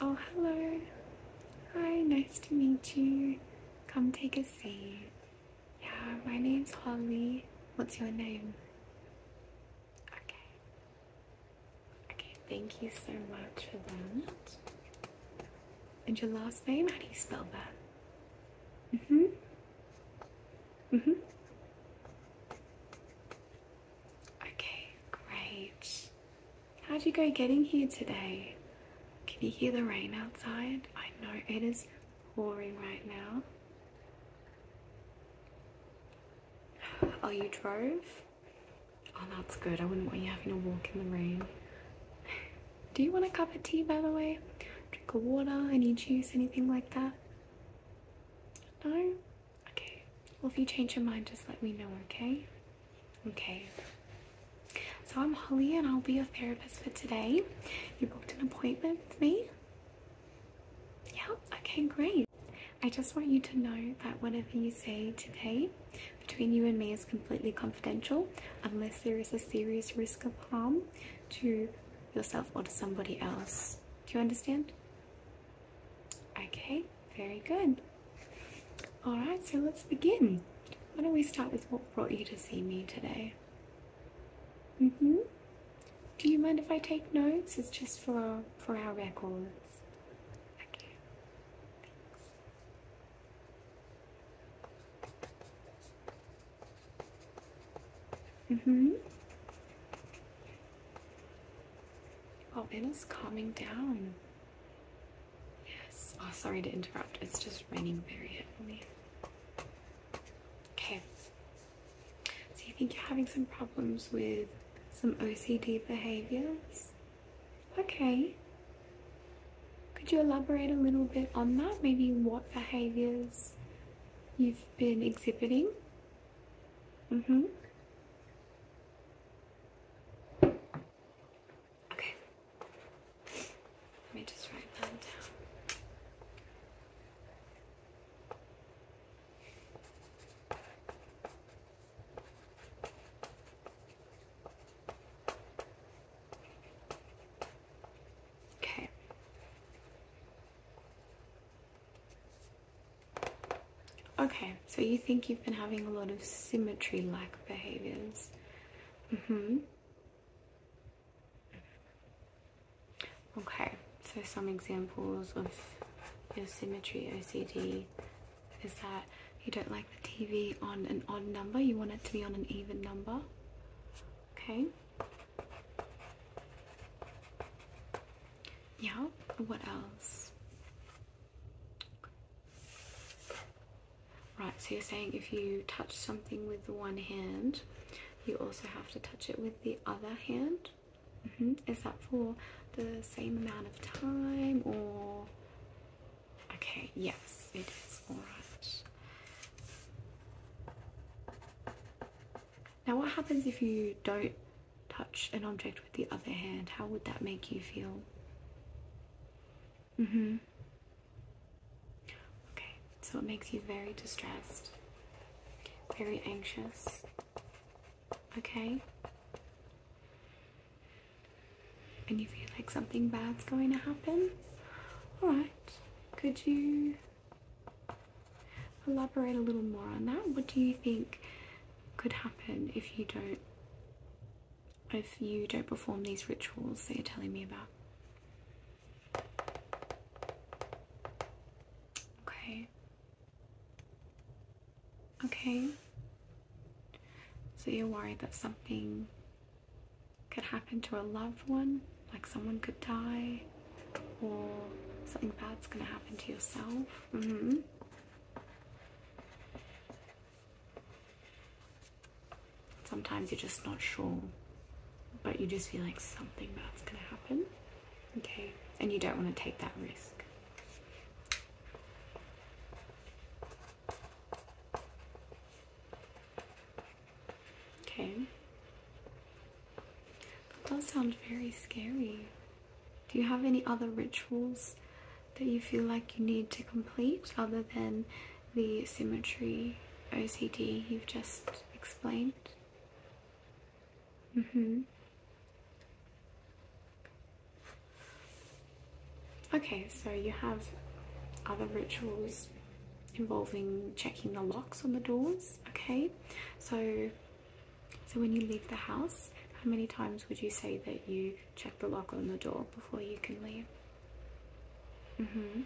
Oh, hello. Hi, nice to meet you. Come take a seat. Yeah, my name's Holly. What's your name? Okay. Okay, thank you so much for that. And your last name, how do you spell that? Mm-hmm. Mm-hmm. Okay, great. How'd you go getting here today? Can you hear the rain outside? I know it is pouring right now. Are oh, you drove? Oh, that's good. I wouldn't want you having a walk in the rain. Do you want a cup of tea, by the way? Drink of water, any juice, anything like that? No? Okay. Well, if you change your mind, just let me know, okay? Okay. So I'm Holly and I'll be your therapist for today. You booked an appointment with me? Yeah? Okay, great. I just want you to know that whatever you say today between you and me is completely confidential unless there is a serious risk of harm to yourself or to somebody else. Do you understand? Okay, very good. Alright, so let's begin. Why don't we start with what brought you to see me today? hmm Do you mind if I take notes? It's just for, for our record minutes. Okay, thanks. mm calming down. Yes. Oh, sorry to interrupt. It's just raining very heavily. Okay. So you think you're having some problems with some OCD behaviors? Okay. Could you elaborate a little bit on that? Maybe what behaviors you've been exhibiting? Mm hmm. Okay. Let me just write that down. Okay. Okay, so you think you've been having a lot of symmetry like behaviors? hmm Okay, so some examples of your symmetry OCD is that you don't like the TV on an odd number, you want it to be on an even number. Okay. Yeah, what else? Right, so you're saying if you touch something with one hand, you also have to touch it with the other hand. Mm-hmm. Is that for the same amount of time or? Okay, yes, it is. Alright. Now, what happens if you don't touch an object with the other hand? How would that make you feel? Mm hmm. Okay, so it makes you very distressed, very anxious. Okay? And you feel like something bad's going to happen? Alright, could you elaborate a little more on that? What do you think could happen if you don't? If you don't perform these rituals that you're telling me about, okay, Okay. So you're worried that something could happen to a loved one, like someone could die, or something bad's gonna happen to yourself. Mm-hmm. Sometimes you're just not sure, but you just feel like something bad's gonna happen. Okay, and you don't want to take that risk. Okay. That does sound very scary. Do you have any other rituals that you feel like you need to complete other than the symmetry OCD you've just explained? Mm-hmm. Okay, so you have other rituals involving checking the locks on the doors, okay? So so when you leave the house, how many times would you say that you check the lock on the door before you can leave? Mm-hmm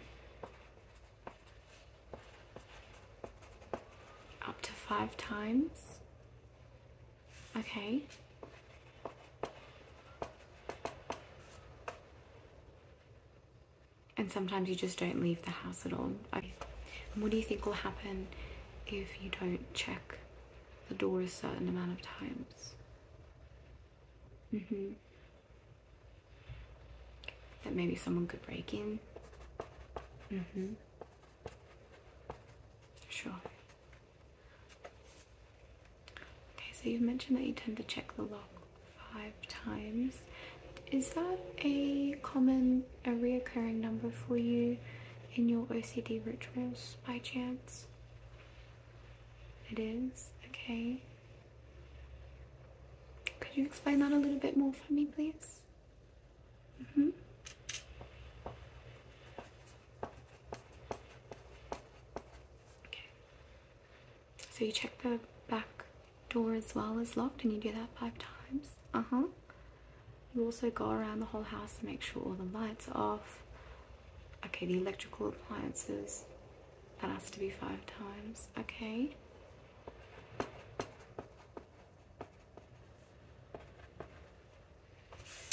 up to five times. Okay. And sometimes you just don't leave the house at all. what do you think will happen if you don't check the door a certain amount of times? Mm-hmm. That maybe someone could break in. Mm-hmm. Sure. Okay, so you mentioned that you tend to check the lock five times. Is that a common, a reoccurring number for you in your OCD rituals by chance? It is? Okay. Could you explain that a little bit more for me, please? Mm -hmm. Okay. So you check the back door as well as locked and you do that five times. Uh-huh. You also go around the whole house and make sure all the lights are off. Okay, the electrical appliances. That has to be five times. Okay.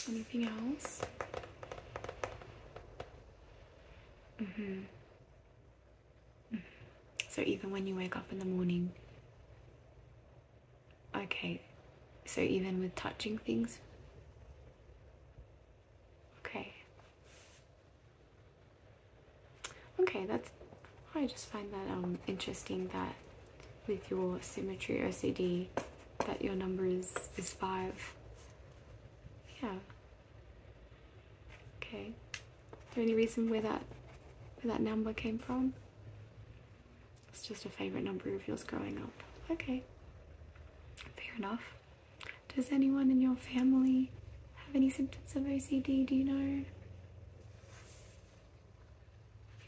Anything else? hmm So even when you wake up in the morning, okay, so even with touching things, okay, Okay, that's I just find that um interesting that with your symmetry OCD that your number is is five. Yeah. Okay. Is there any reason where that where that number came from? It's just a favorite number of yours growing up. Okay. Fair enough. Does anyone in your family have any symptoms of OCD? Do you know?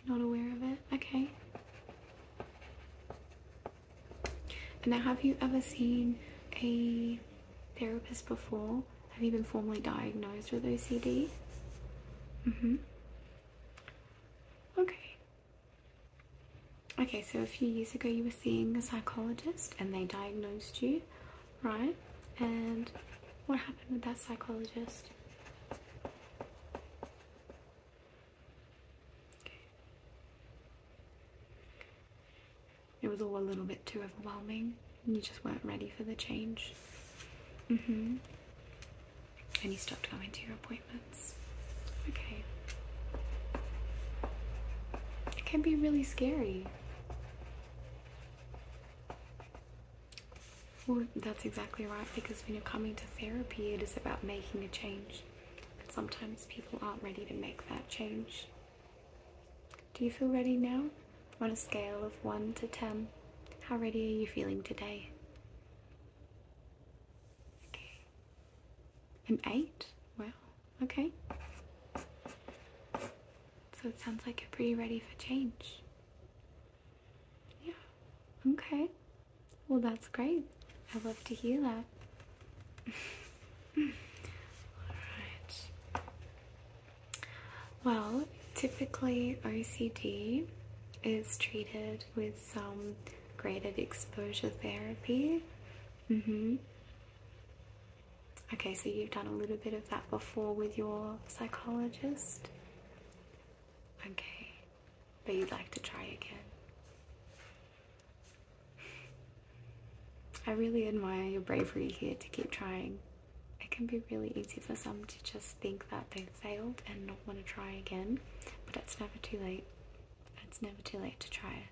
You're not aware of it? Okay. And now, have you ever seen a therapist before? Have you been formally diagnosed with OCD? Mm hmm. Okay. Okay, so a few years ago you were seeing a psychologist and they diagnosed you right? And what happened with that psychologist? It was all a little bit too overwhelming. You just weren't ready for the change. hmm And you stopped going to your appointments. Okay. It can be really scary. Well, that's exactly right because when you're coming to therapy, it is about making a change. sometimes people aren't ready to make that change. Do you feel ready now? On a scale of 1 to 10, how ready are you feeling today? I'm 8? Wow. Okay. So it sounds like you're pretty ready for change. Yeah. Okay. Well, that's great. I love to hear that. Alright. Well, typically OCD is treated with some graded exposure therapy. Mm hmm. Okay, so you've done a little bit of that before with your psychologist? Okay, but you'd like to try again. I really admire your bravery here to keep trying. It can be really easy for some to just think that they've failed and not want to try again, but it's never too late. It's never too late to try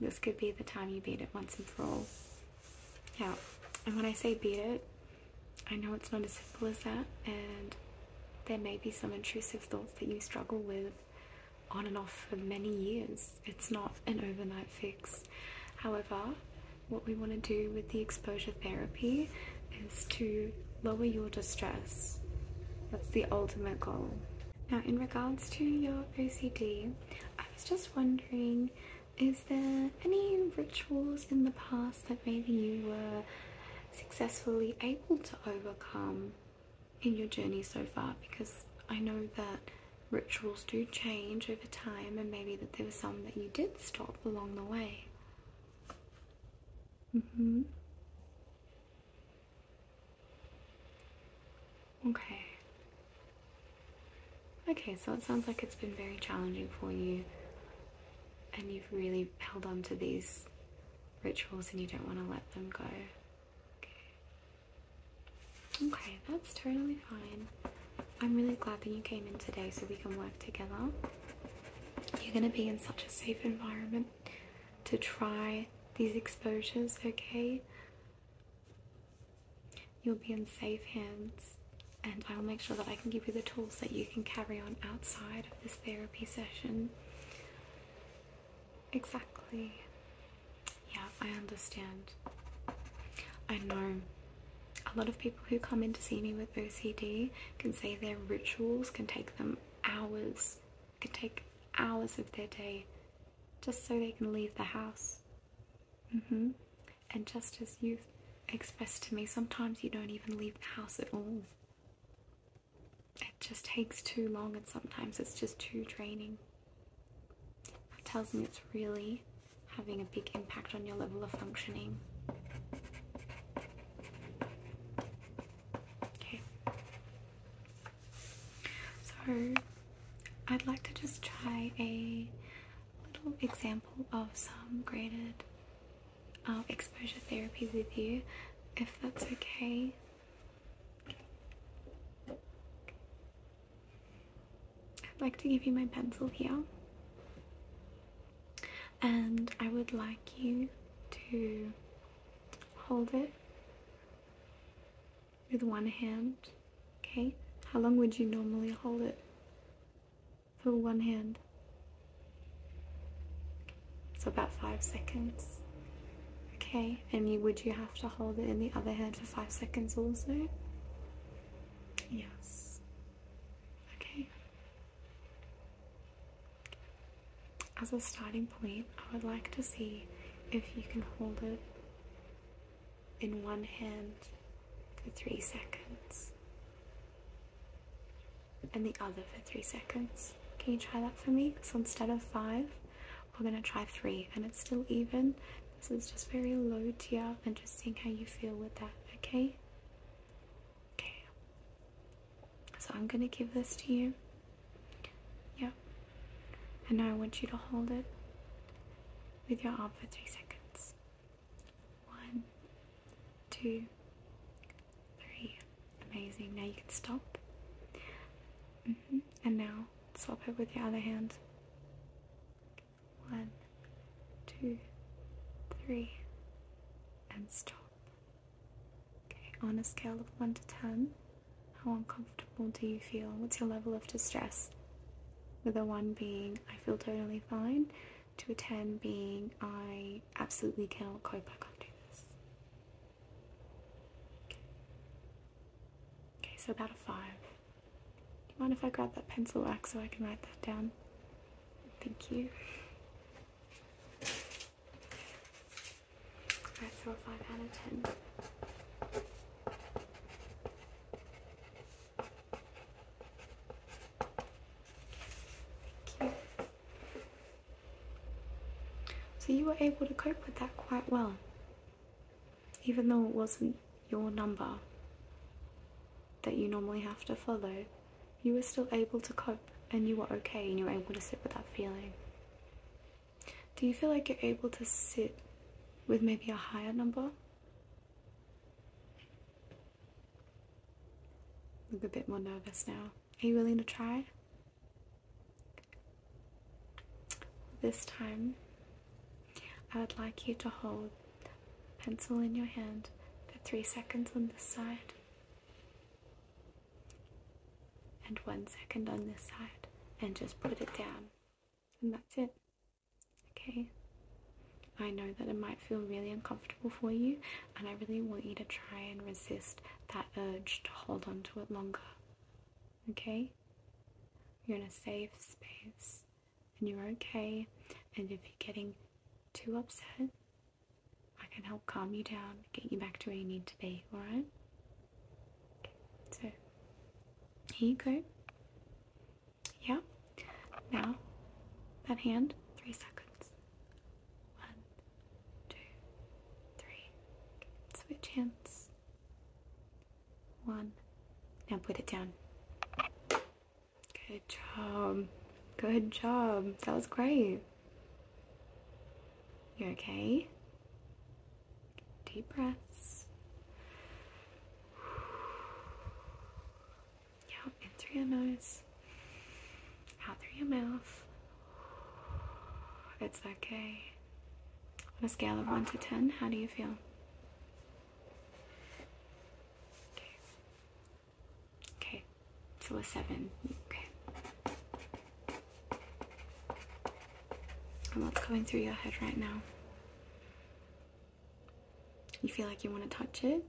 this could be the time you beat it once and for all. Yeah, and when I say beat it, I know it's not as simple as that, and there may be some intrusive thoughts that you struggle with on and off for many years. It's not an overnight fix. However, what we want to do with the exposure therapy is to lower your distress. That's the ultimate goal. Now, in regards to your OCD. I was just wondering, is there any rituals in the past that maybe you were successfully able to overcome in your journey so far? Because I know that rituals do change over time, and maybe that there were some that you did stop along the way. Mm-hmm. Okay. Okay, so it sounds like it's been very challenging for you, and you've really held on to these rituals and you don't want to let them go. Okay. Okay, that's totally fine. I'm really glad that you came in today so we can work together. You're going to be in such a safe environment to try these exposures, okay? You'll be in safe hands, and I'll make sure that I can give you the tools that you can carry on outside of this therapy session. Exactly. Yeah, I understand. I know a lot of people who come in to see me with OCD can say their rituals can take them hours could take hours of their day just so they can leave the house. Mm-hmm. And just as you've expressed to me, sometimes you don't even leave the house at all. It just takes too long and sometimes it's just too draining. That tells me it's really having a big impact on your level of functioning. Okay. So I'd like to just try a little example of some graded uh, exposure therapy with you, if that's okay. I'd like to give you my pencil here, and I would like you to hold it with one hand. Okay, how long would you normally hold it? For one hand. So about five seconds. Okay, and would you have to hold it in the other hand for five seconds also? Yes. Okay. As a starting point, I would like to see if you can hold it in one hand for three seconds and the other for three seconds. Can you try that for me? So instead of five, we're going to try three and it's still even. This is just very low tier and just seeing how you feel with that, okay? Okay. So I'm going to give this to you. Yeah. And now I want you to hold it with your arm for three seconds. One, two, three. Amazing. Now you can stop. Mm-hmm. And now swap it with your other hand. One, two, three, and stop. Okay, on a scale of 1 to 10, how uncomfortable do you feel? What's your level of distress? With a 1 being, I feel totally fine, to a 10 being, I absolutely cannot cope, I can't do this. Okay, so about a 5. Do you mind if I grab that pencil rack so I can write that down? Thank you. So you were able to cope with that quite well, even though it wasn't your number that you normally have to follow you were still able to cope and you were okay and you were able to sit with that feeling. Do you feel like you're able to sit with maybe a higher number? Look a bit more nervous now. Are you willing to try? This time, I would like you to hold pencil in your hand for three seconds on this side and one second on this side and just put it down and that's it okay I know that it might feel really uncomfortable for you and I really want you to try and resist that urge to hold on to it longer okay you're in a safe space and you're okay and if you're getting too upset I can help calm you down, get you back to where you need to be, alright? so here you go. Yeah. Now, that hand, three seconds. One, two, three. switch hands. One. Now put it down. Good job. Good job. That was great. You okay? Deep breaths. Yeah, in through your nose, out through your mouth. It's okay. On a scale of 1 to 10, how do you feel? Okay, so a seven. Okay. And what's going through your head right now? You feel like you want to touch it?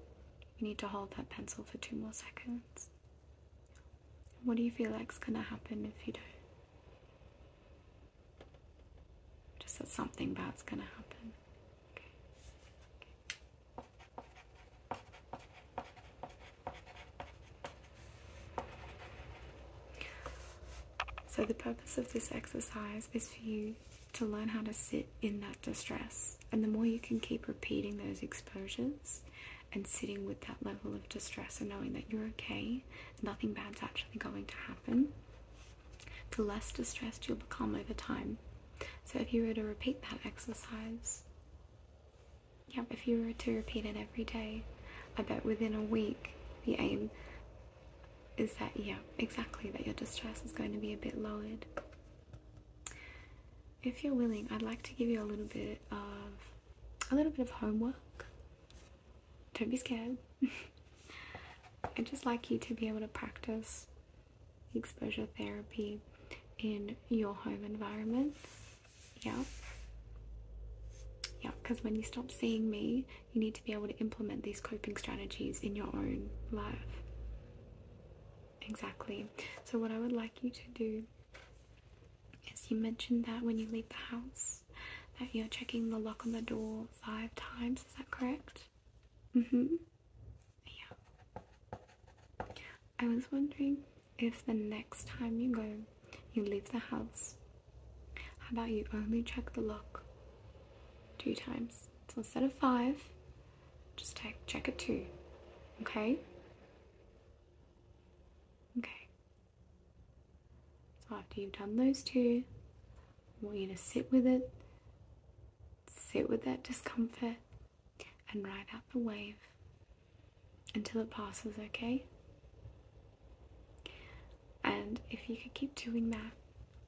You need to hold that pencil for two more seconds. What do you feel like is gonna happen if you don't? Just that something bad's gonna happen. So, the purpose of this exercise is for you to learn how to sit in that distress. And the more you can keep repeating those exposures and sitting with that level of distress and knowing that you're okay, nothing bad's actually going to happen, the less distressed you'll become over time. So if you were to repeat that exercise, yeah, if you were to repeat it every day, I bet within a week the aim is that, yeah, exactly, that your distress is going to be a bit lowered. If you're willing, I'd like to give you a little bit of a little bit of homework. Don't be scared. I'd just like you to be able to practice exposure therapy in your home environment. Yeah. Yeah, because when you stop seeing me, you need to be able to implement these coping strategies in your own life. Exactly. So, what I would like you to do is you mentioned that when you leave the house, that you're checking the lock on the door five times. Is that correct? Mm hmm yeah. I was wondering if the next time you go, you leave the house, how about you only check the lock two times? So instead of five, just take, check it two, okay? Okay. So after you've done those two, I want you to sit with it sit with that discomfort and ride out the wave until it passes, okay? And if you could keep doing that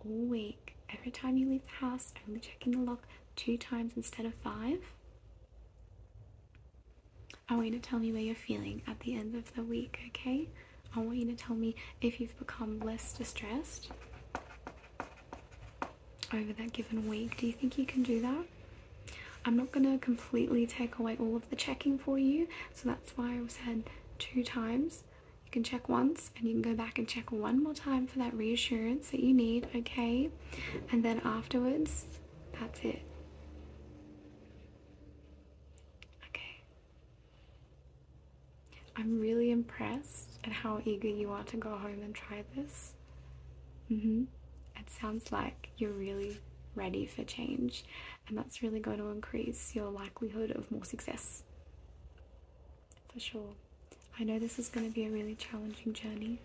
all week, every time you leave the house, only checking the lock two times instead of five, I want you to tell me where you're feeling at the end of the week, okay? I want you to tell me if you've become less distressed, over that given week. Do you think you can do that? I'm not going to completely take away all of the checking for you, so that's why I said two times. You can check once and you can go back and check one more time for that reassurance that you need, okay? And then afterwards, that's it. Okay, I'm really impressed at how eager you are to go home and try this. Mm-hmm. It sounds like you're really ready for change, and that's really going to increase your likelihood of more success. For sure. I know this is going to be a really challenging journey,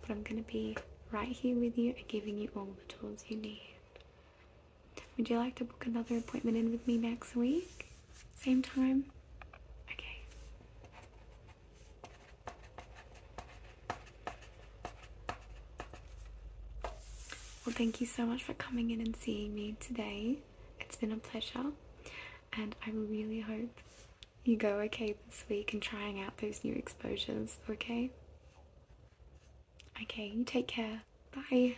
but I'm going to be right here with you and giving you all the tools you need. Would you like to book another appointment in with me next week? Same time? Okay. Well, thank you so much for coming in and seeing me today. It's been a pleasure, and I really hope you go okay this week and trying out those new exposures, okay? Okay, you take care. Bye.